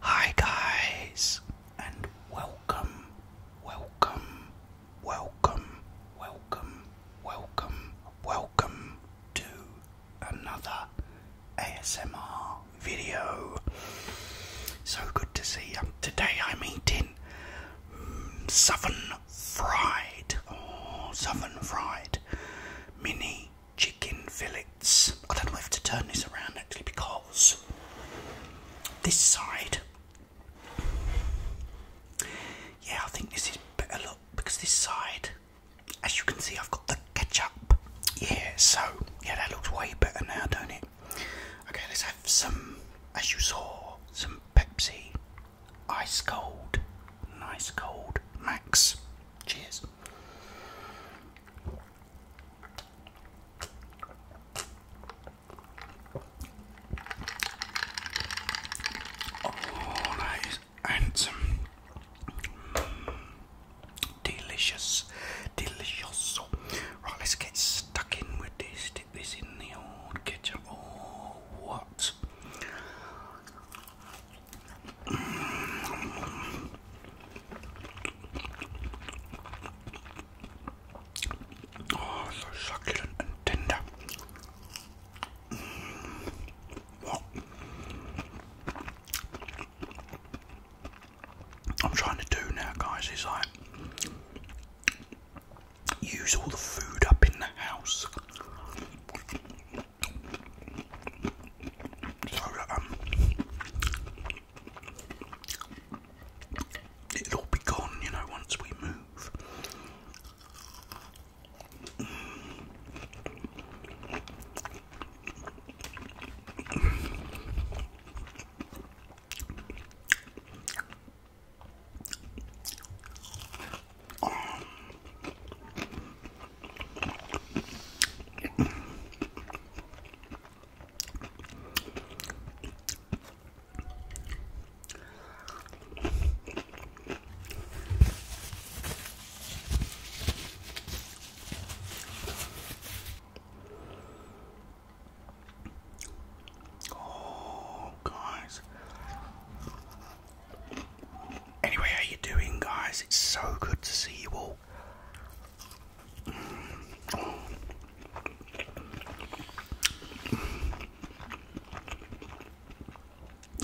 Hi, guys, and welcome, welcome, welcome, welcome, welcome, welcome to another ASMR video. So good to see you. Today I'm eating mm, southern fried, oh, southern fried mini chicken fillets. I don't know if to turn this around actually because this side, yeah, I think this is better look because this side, as you can see, I've got the ketchup. Yeah, so yeah, that looks way better now, don't it? Okay, let's have some, as you saw, some Pepsi, ice cold, nice cold, max. Cheers. Oh, that is handsome, delicious, delicious. Right, let's get stuck in with this. Stick this in the old kitchen Oh, what? Oh, so succulent and tender. What? I'm trying to do now, guys, is I use all the food up in the house so um, it'll be gone, you know, once we move. Oh, guys. Anyway, how you doing, guys? It's so good to see you all.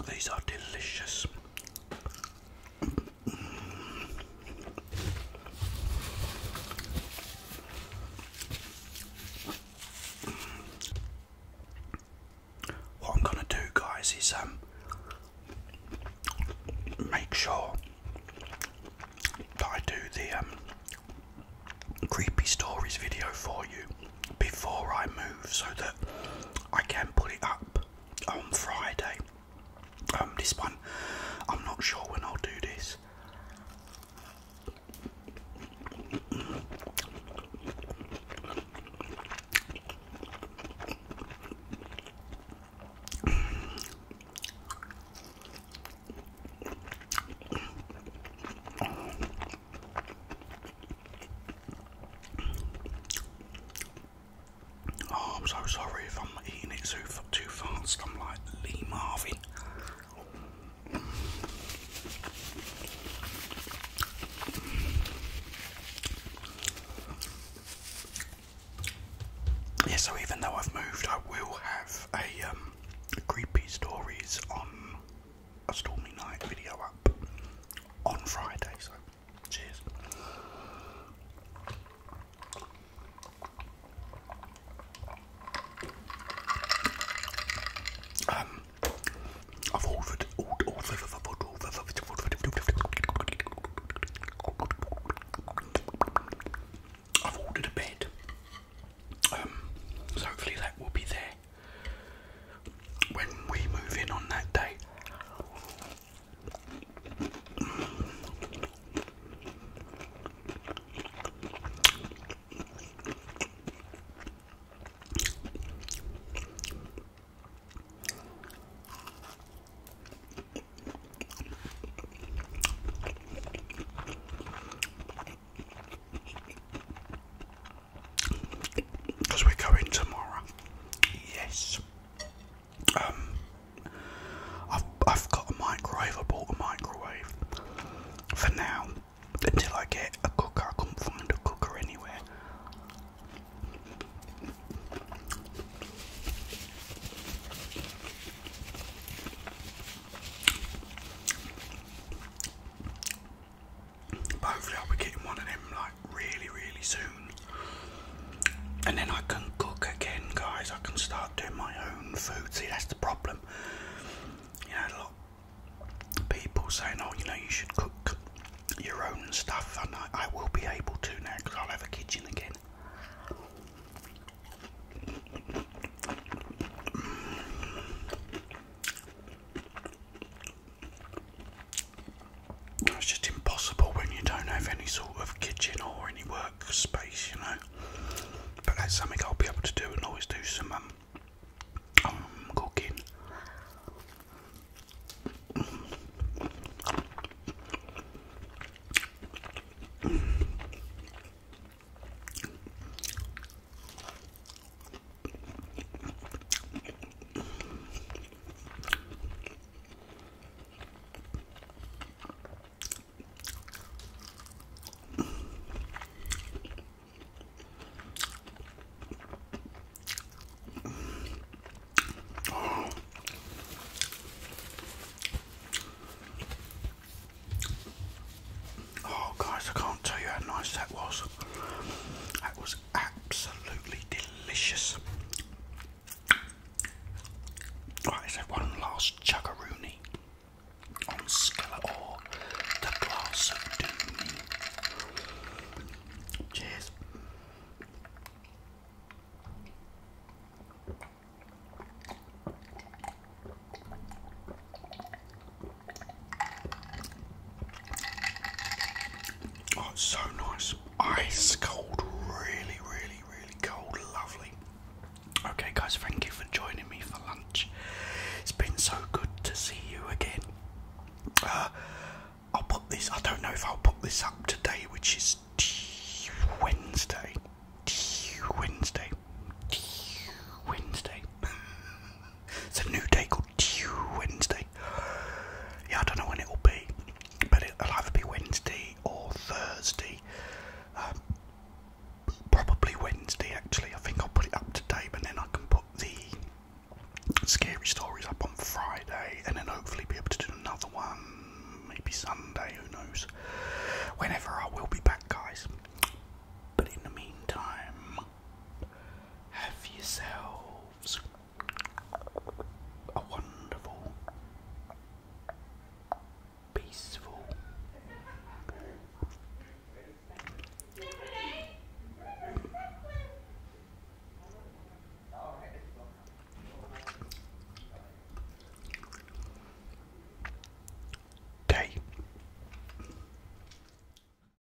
These are delicious. What I'm gonna do, guys, is um make sure that I do the um, creepy stories video for you before I move, so that I can put it up on Friday. Um, this one, I'm not sure when I'll do this. Oh, I'm so sorry if I'm eating it too fast. I'm like Lee Marvin. Yeah, so even though I've moved, I will have a um, creepy stories on a stormy night video up on Friday. So, cheers. Um, I've ordered, ordered, ordered, ordered, ordered, I've ordered a bed, um, so hopefully that will be there when we move in on that day. Because we're going tomorrow. Yes. Um, I've, got a microwave, I bought a microwave for now until I get a cooker. I couldn't find a cooker anywhere. hopefully, I'll be getting one of them like really, really soon and then I can cook again, guys. I can start doing my own food. See, that's the problem. You know, a lot of people saying, "Oh, you know, you should cook your own stuff," and I, I will be able to now because I'll have a kitchen again. It's just impossible when you don't have any sort of kitchen or any work Space, you know. But that's something I'll be able to do and always do some um, um cooking. Oh. guys, I can't tell you how nice that was. That was absolutely delicious. Right, so one last chuggaroony on or the glass of doom. Cheers. Oh, so nice ice cold, really, really, really cold, lovely. Okay, guys, thank you for joining me for lunch. It's been so good to see you again. Uh, I'll put this, I don't know if I'll put this up today, which is Tuesday, Tuesday, Tuesday. it's a new day called Tuesday. Yeah, I don't know when it will be, but it'll either be Wednesday or Thursday. Um, probably Wednesday, actually. I think I'll put it up today, but then I can put the scary stories up on Friday, and then hopefully be able to do another one, maybe Sunday. Who knows? Whenever I will be back, guys. But in the meantime, have yourselves a wonderful, peaceful, day.